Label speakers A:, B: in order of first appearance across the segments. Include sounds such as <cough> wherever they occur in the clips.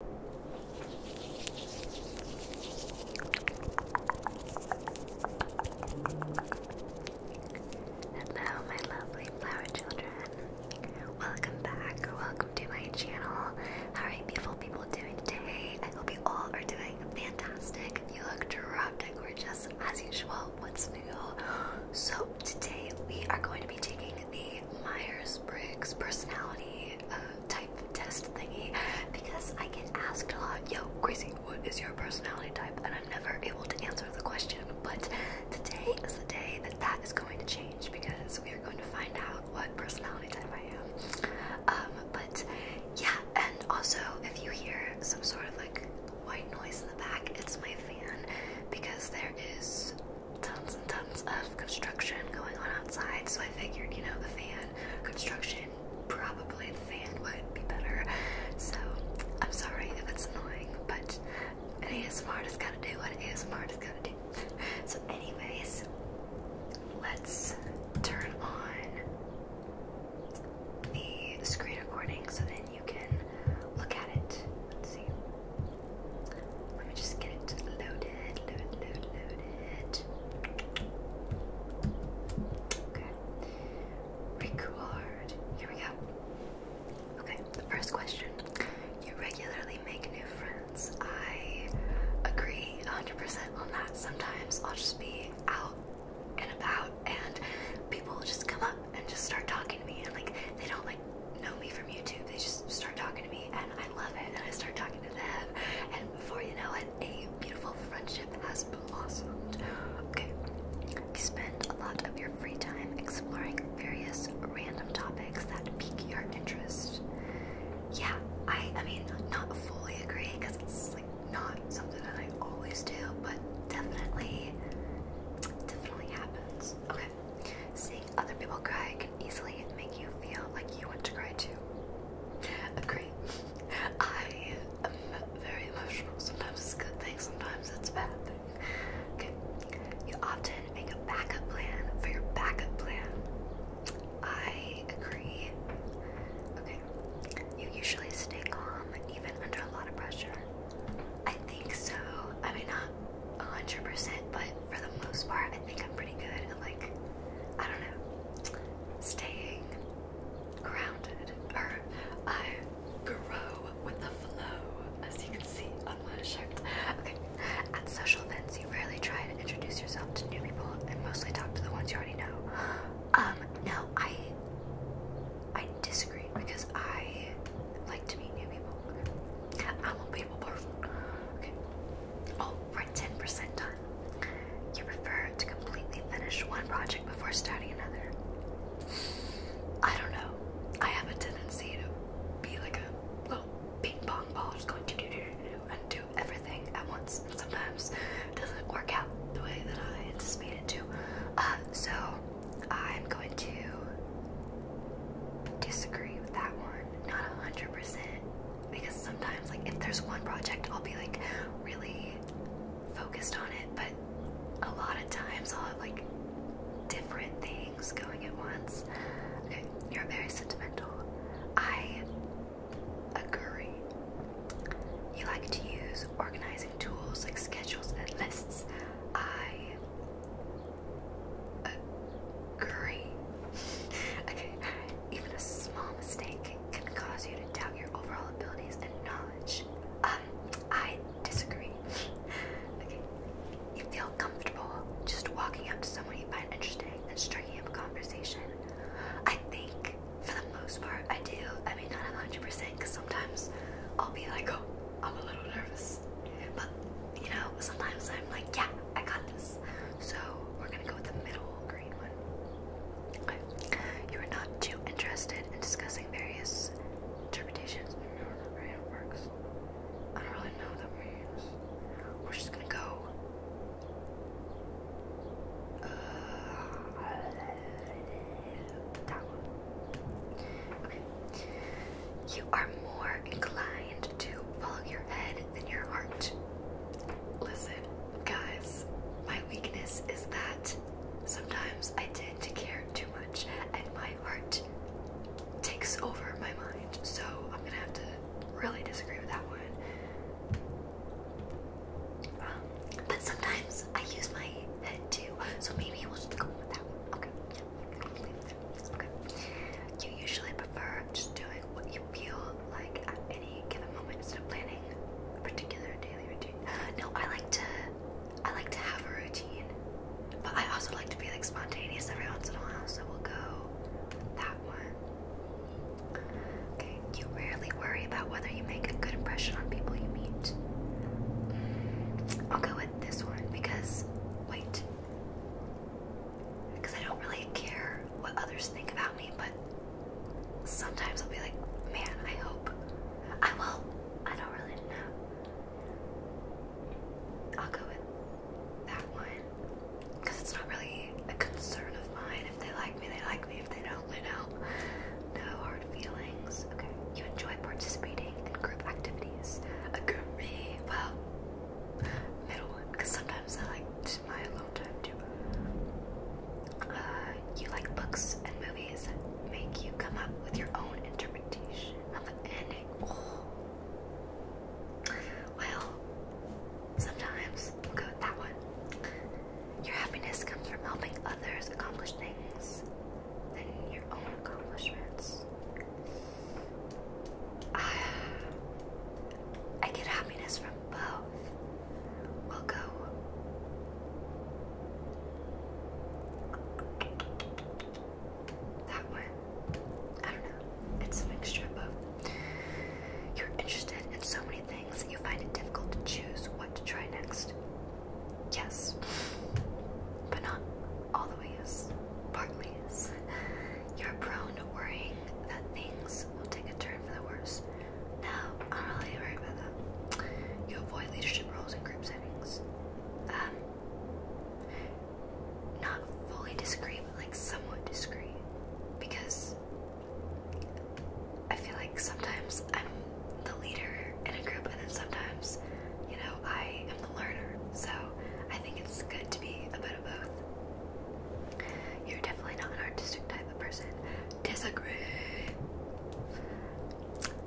A: Hello, my lovely flower children. Welcome back, or welcome to my channel. How are you beautiful people doing today? I hope you all are doing fantastic. You look drop-dead gorgeous as usual. What's new? So today we are going to be taking the Myers-Briggs personality uh, type test thingy because I get asked a lot, yo, Gracie, what is your personality type? And I'm never able to answer the question. But today is the day that that is going to change because we are going to find out what personality type I am. Um, but yeah, and also if you hear some sort of like white noise in the back, it's my fan because there is tons and tons of construction going on outside, so I figured, you know, the fan construction, probably the fan would be better. So I'm sorry if it's annoying, but an ASMR has gotta do what an ASMR has gotta do. <laughs> So, anyways, let's turn on the screen recording so then you can look at it. Let's see. Let me just get it loaded, Okay. Record. Here we go. Okay, the first question. You regularly make new friends. I agree 100% on that. Sometimes I'll just be out and about and people will just come up and just start talking to me and like they don't like know me for from YouTube. They just start talking to me, and I love it. And I start talking to them, and before you know it, a beautiful friendship has blossomed. Okay, you spend a lot of your free time exploring various random topics that pique your interest. Yeah, I, I mean, not fully agree because it's like not something that I always do, but definitely, definitely happens. Okay. Say other people cry can easily make you feel like you want to cry too. <laughs> Agree. <laughs> I am very emotional. Sometimes it's a good thing, sometimes it's a bad thing. Okay. You often make a backup plan for your backup plan. I agree. Okay. You usually stay calm even under a lot of pressure. I think so. I mean, not 100%, but for the most part, I think I'm pretty good like I don't know, staying grounded, or I grow with the flow, as you can see on my shirt. Okay, at social events, you rarely try to introduce yourself to new people and mostly talk to the ones you already know. Um, no, I I disagree because I like to meet new people. I'm a people person. Okay. Oh, we 10% done. You prefer to completely finish one project before starting another. I don't know. I have a tendency to be like a little ping pong ball just going to do do do do and do everything at once. And sometimes it doesn't work out the way that I anticipated to. Uh, so I'm going to disagree with that one. Not 100% because sometimes like if there's one project I'll be like really focused on it but a lot of times I'll have like different things going at once. Okay, you're very sentimental. I agree. You like to use organizing tools like schedules and lists. I Great. <laughs> okay, even a small mistake can cause you to doubt your overall abilities and knowledge. Um, I disagree. <laughs> okay, you feel comfortable just walking up to someone you find interesting and striking up a conversation. I think, for the most part, I do. I mean, not 100%, because sometimes I'll be like, oh, I'm a little nervous. But you know, sometimes I'm like, yeah, I got this. So we're gonna go with the middle green one. You are not too interested in discussing various interpretations. I do works. I don't really know what that We're just gonna go. Uh, that one. Okay. You are more inclined to follow your head than your heart. Listen, guys, my weakness is that sometimes I tend to care too much and my heart takes over my mind. So I'm gonna have to really disagree with that one. but sometimes I use my head too, so maybe we'll just go with that one. Okay, yeah, okay. You usually prefer just doing what you feel like at any given moment instead of planning a particular daily routine. <gasps> No, I like to I like to have a routine. But I also like to be like spontaneous every once in a while, so we'll go that one. Okay, you rarely worry about whether you make a good impression on people you meet. I'll go with this one because wait because I don't really care what others think about me, but sometimes I'll be like, man, I hope I will. I don't really know. I'll go with that one because it's not really a concern of mine. If they like me, they like me. If they don't, they don't. No hard feelings. Okay. You enjoy participating in group activities. A Agree. Well, middle one because sometimes I like to my alone time too. Uh, you like books and movies make you come up with your own interpretation of the ending. Well, sometimes we'll go with that one. Your happiness comes from helping others accomplish things than your own accomplishments. I, <sighs> I get happiness from both. We'll go. That one. I don't know. It's a mixture of You're interested in so many things that you find it difficult to choose what to try next. Yes. But not all Partly yes. <laughs> You're prone to worrying that things things will take a turn for the worse. No, I'm really worried about that. You avoid leadership roles in group settings. Um, not fully discreet, but like somewhat discreet. Because I feel like sometimes I'm the leader in a group, and then sometimes, you know, I am the learner. So I think it's good to be a you're definitely not an artistic type of person. Disagree.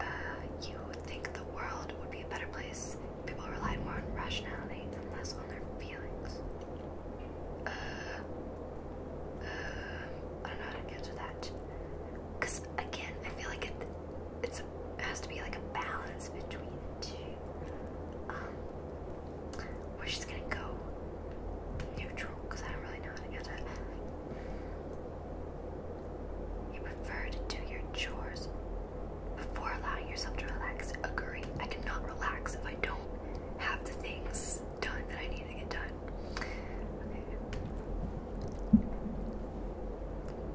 A: Uh, you think the world would be a better place. if People relied more on rationality and less on their feelings. Uh, uh, I don't know how to answer that. Cause again, I feel like it, it has to be like a balance between the two. Um, we're just gonna go neutral because I don't really know how to answer it. You prefer to do your chores before allowing yourself to relax. Agree. I cannot relax if I don't have the things done that I need to get done.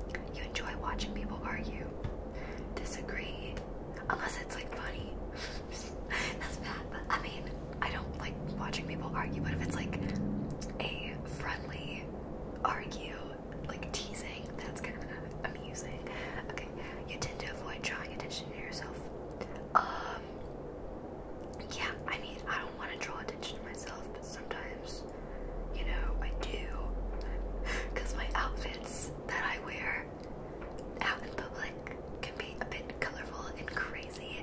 A: Okay. You enjoy watching people argue. Disagree. Unless it's like funny. That's bad, but I mean, I don't like watching people argue, but if it's like a friendly argue, like teasing, that's kind of amusing. Okay, you tend to avoid drawing attention to yourself. Um, yeah, I mean, I don't want to draw attention to myself, but sometimes, you know, I do. Because my outfits that I wear out in public can be a bit colorful and crazy,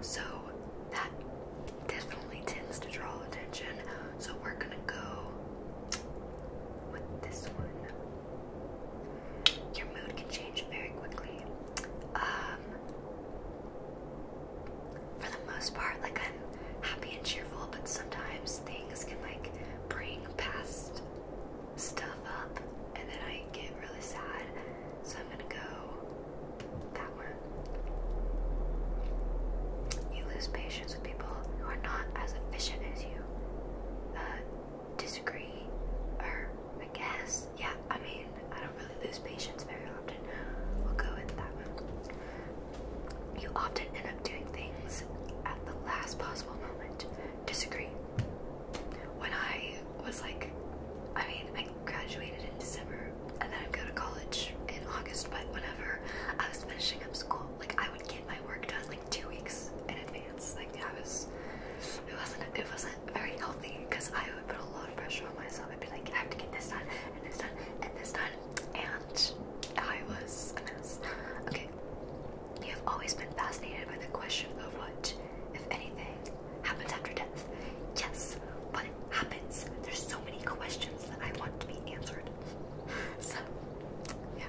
A: so that definitely tends to draw attention. So we're gonna go with this one. Your mood can change very quickly. Um, for the most part, like I'm happy and cheerful, but sometimes things can like bring past stuff up and then I get really sad. So I'm gonna go that one. You lose patience with people who are not as efficient as you. Uh, disagree, or I guess, yeah, I mean, I don't really lose patience very often. We'll go with that one. You often end up doing things at the last possible moment. Disagree when I was like, I mean, I graduated in December and then I'd go to college in August, but whenever I was finishing up school, like I would get my work done like two weeks in advance. Like I was, it wasn't, it wasn't very healthy because I would put a lot of pressure on myself. I'd be like, I have to get this done and this done and this done, and I was a mess. Okay, you have always been fascinated by the question of what, if anything, happens after death. Yes, what happens? There's so many questions that I want to be answered. So, yeah.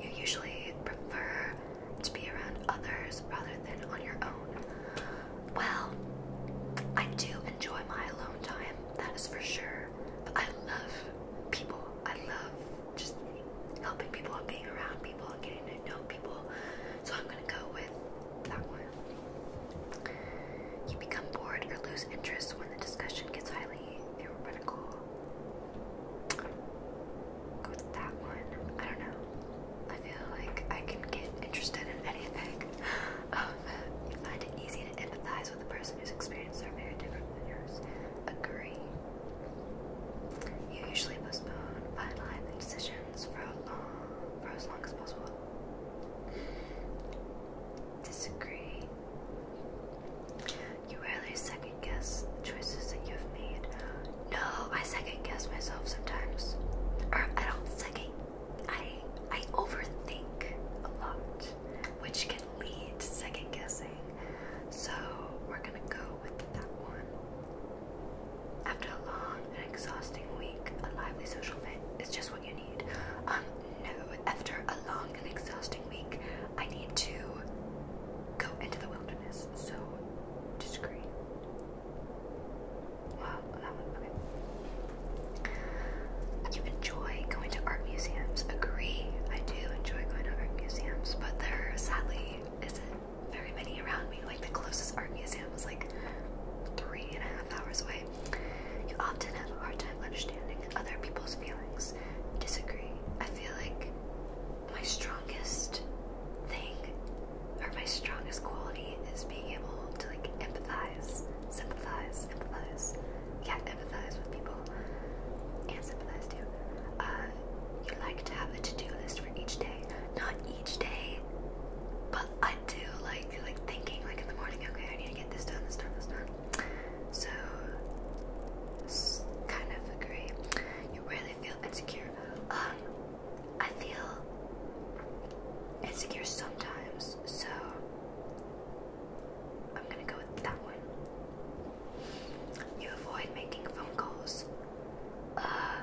A: You usually prefer to be around others rather than on your own. Well, I do enjoy my alone time, that is for sure. But I love people. I love just helping people and being around people and getting to know people. So I'm gonna go with that one. You become bored or lose interest when the discussion gets highly theoretical. Go with that one. I don't know. I feel like I can get interested in anything. <laughs> Um, you find it easy empathize with a person whose experiences are very different than yours. Agree. You usually postpone finalizing decisions for for as long as possible. Disagree. You rarely second guess the choices that you have made. No, I second guess myself sometimes. Or I don't second I I overthink a lot, which can lead to second guessing. So we're gonna go with that one. After a long and exhausting week, a lively social fit is just what you need. Um, no, after a long and exhausting week, I need to go into the wilderness. So disagree. Wow, that one, okay enjoy going to art museums. Agree, I do enjoy going to art museums, but there sadly isn't very many around me. Like the closest art museum was like three and a half hours away. You often have a hard time understanding other people's feelings. Disagree. I feel like my strongest thing or my strongest quality is being able to like empathize, sympathize, empathize yeah, empathize with people and sympathize too. Uh, you like to have a to-do list for each day, not each day, but I do like like thinking like in the morning. Okay, I need to get this done, this done, this done. So kind of agree. You really feel insecure. Um, I feel insecure sometimes, so I'm gonna go with that one. You avoid making phone calls. Uh,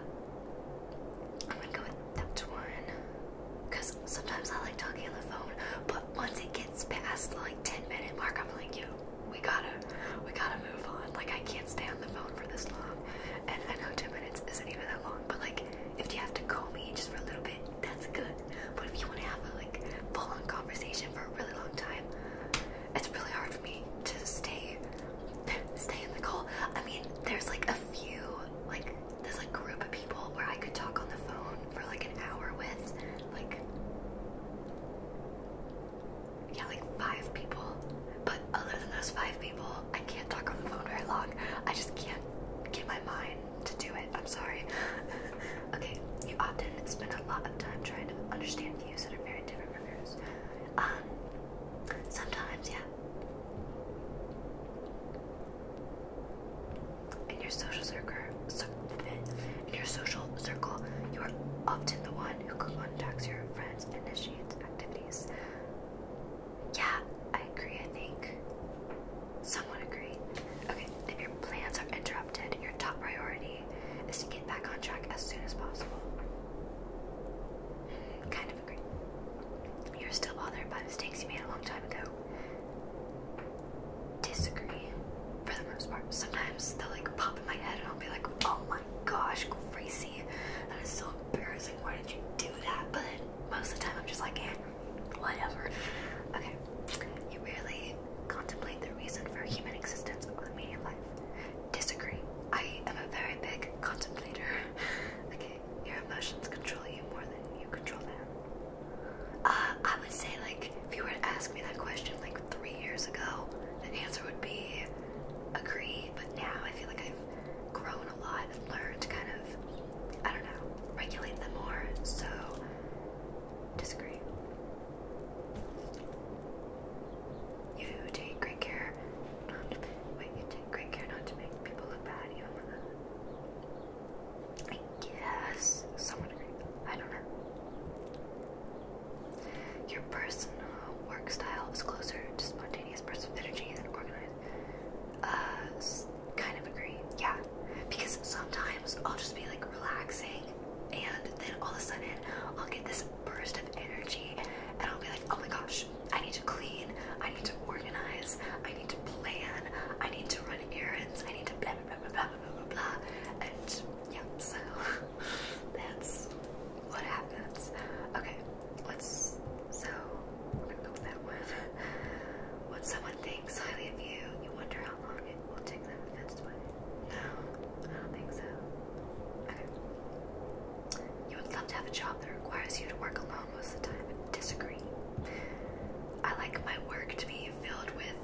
A: I'm gonna go with that one. sometimes I like talking on the phone, but once it gets past like 10 minute mark, I'm like, yo, we gotta, we gotta move on. Like I can't stay on the phone for this long. And I know 10 minutes isn't even that long, but like if you have to call me just for a little bit, that's good. But if you want to have a like full-on conversation for a really long time, it's really hard for me to stay <laughs> stay in the call. I mean, there's like a few like there's like a group of people where I could talk on the phone for like an hour with like yeah, like five people. But other than those five people, I can't talk on the phone very long. I just can't get my mind to do it. I'm sorry. <laughs> Okay, you often spend a lot of time trying to understand views that are very different from yours. Um, sometimes, yeah. In your social circle, in your social circle, you are often the one who contacts your friends initiates activities. Yeah, I agree. I think someone agree. Okay, if your plans are interrupted, your top priority is to get back on track as soon as possible. Kind of agree. You're still bothered by mistakes you made a long time ago. Disagree, for the most part. Sometimes they'll like pop in my head and I'll be like, oh my gosh, crazy. That is so embarrassing. Why did you do that? But most of the time I'm just like, eh, whatever. Okay. You contemplate the reason for human existence or the meaning of life. Disagree. I am a very big contemplator. <laughs> okay, your emotions control you more than you control them. Uh, I would say, like, if you were to ask me that question like three years ago, the answer would be agree. But now I feel like I've grown a lot and learned to kind of, I don't know, regulate them more. So Disagree. You take great care not to make people look bad I guess someone agree. I don't know. Your personal work style is closer to spontaneous bursts of energy than organized. Uh, kind of agree. Yeah, because sometimes I'll just be like relaxing and then all of a sudden I'll get this burst of energy and I'll be like, oh my gosh, I need to clean, I need to organize, I need to plan, I need to run errands, I need to blah blah blah blah blah blah And yeah, so <laughs> that's what happens. Okay, let's so we're gonna go with that one. <laughs> When someone thinks highly of you, you wonder how it will take them if that's why. No, I don't think so. Okay. You would love to have a job that requires you to work alone most of the time. Disagree. I like my work to be filled with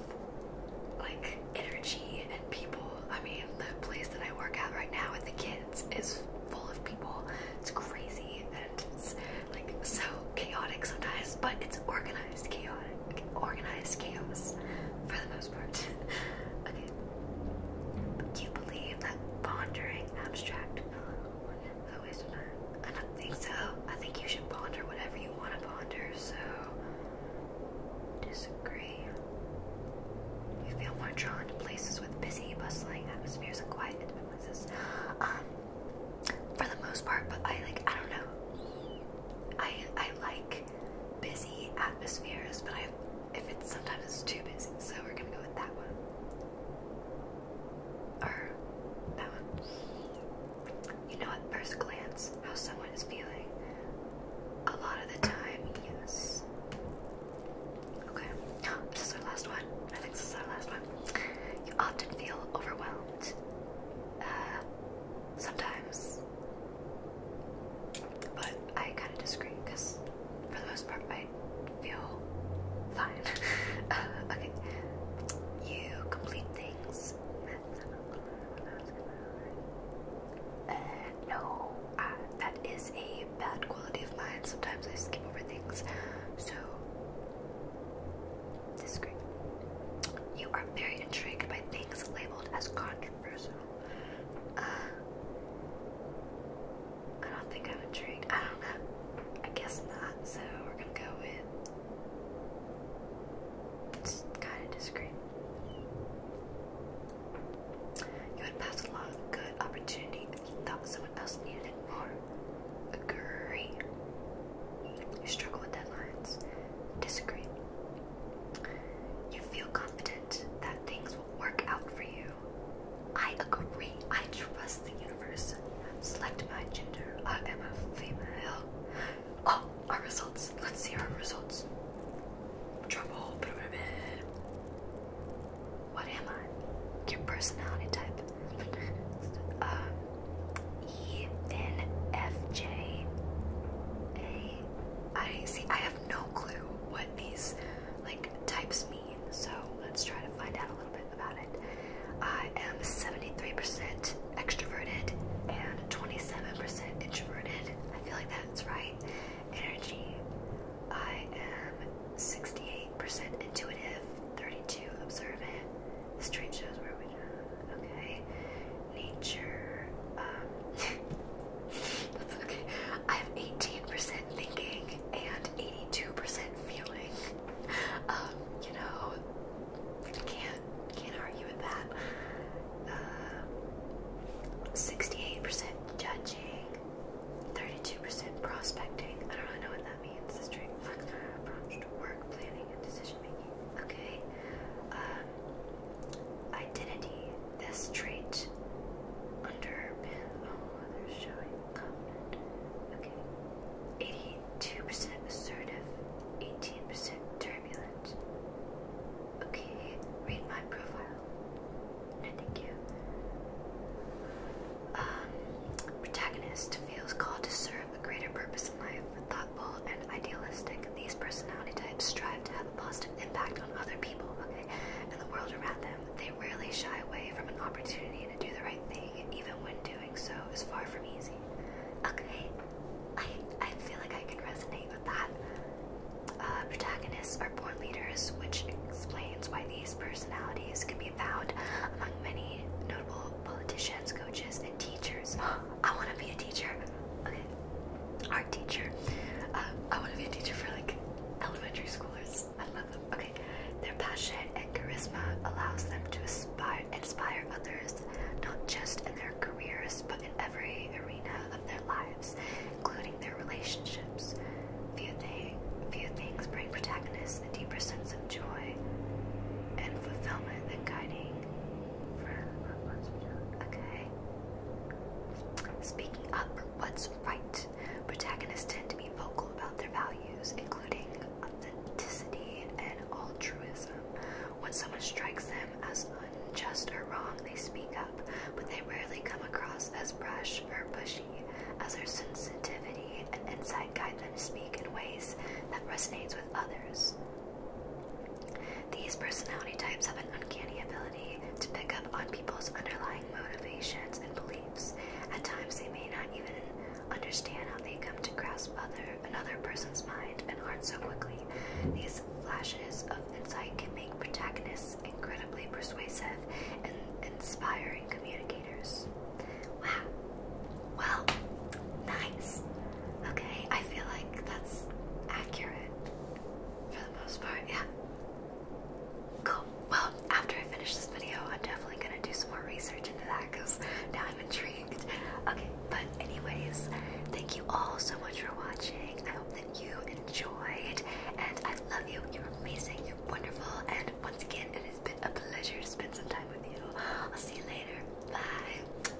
A: like energy and people. I mean, the place that I work at right now with the kids is full of people. It's crazy and it's like so chaotic sometimes, but it's organized organized chaotic organized chaos for the most part. <laughs> okay. You believe that pondering abstract I don't think so. I think you should ponder whatever you want to ponder, so disagree. You feel more drawn to places with busy, bustling atmospheres and quiet places. Um for the most part, but I like I don't know. I I like busy atmospheres, but I if it's sometimes it's too busy, so we're gonna go with that one. Or that one. You know at first glance how someone is feeling. A lot of the time, yes. Okay, <gasps> this is our last one. I think this is our last one. You often feel overwhelmed. Uh, sometimes but I kind of disagree because, for the most part, I feel fine. <laughs> Uh, okay, you complete things. Uh, no, uh, that is a bad quality of mine. Sometimes I skip over things, so disagree. You are very intrigued by things labeled as controversial. Uh, I don't think I'm intrigued. I don't know. I guess not. So we're gonna go with. It's kind of discreet. You would pass a lot of good opportunity if you thought someone else needed it more. Agree. You struggle with deadlines. Disagree. You feel confident that things will work out for you. I agree. I trust the universe. Select my gender. I am a female. Oh, our results. Let's see our results. Trouble. What am I? Your personality type. <laughs> um, E N F J A. I see. I have no clue what these like types mean, so let's try to find out a little bit about it. I am seventy-three percent extroverted and twenty-seven percent introverted. I feel like that's right. Energy. I am sixty-eight percent intuitive, thirty-two observant. This trait shows where we Okay. Nature. Um, <laughs> that's okay. I have 18% thinking and 82% feeling. Um, you know, can't can't argue with that. 68% uh, judging, 32% prospecting. I don't really know what that means. This <laughs> approach to work planning and decision Okay, um, identity. This trait underpin all oh, others, showing Okay, eighty-two percent assertive, eighteen percent turbulent. Okay, read my profile. No, thank you. Um, protagonist feels called to serve a greater purpose thoughtful and idealistic. These personality types strive to have a positive impact on other people, and the world around them. They rarely shy away from an opportunity to do the right thing, even when doing so is far from easy. Okay, I I feel like I can resonate with that. Uh, protagonists are born leaders, which explains why these personalities can be found among many notable politicians, coaches, and teachers. <gasps> I want to be a teacher. Okay, art teacher. Uh, I want to be a teacher for like elementary schoolers. I love them. Okay, their passion and charisma allows them to aspire, inspire others, not just in their careers but in every arena of their lives, including their relationships. Few, thing, few things bring protagonists a deeper sense of joy and fulfillment than guiding. For okay. Speaking up for what's right, protagonists tend to be vocal about their values, including authenticity and altruism. When someone strikes them as unjust or wrong, they speak up, but they rarely come across as brash or pushy, as their sensitivity and insight guide them to speak in ways that resonates with others. These personality types have an uncanny ability to pick up on people's underlying motivations and beliefs. At times, they may not even understand how they come to grasp other another person's mind and heart so quickly. These flashes of insight can make protagonists incredibly persuasive and inspiring communicators. Wow. Well, nice. Okay, I feel like that's accurate for the most part, yeah. Cool. Well, after I finish this video, I'm definitely gonna do some more research into that because now I'm intrigued. Okay, but anyways, thank you all so much for watching. I hope that you enjoyed, and I love you. You're amazing, you're wonderful, and once again, it has been a pleasure to spend some time with you. I'll see you later. Bye.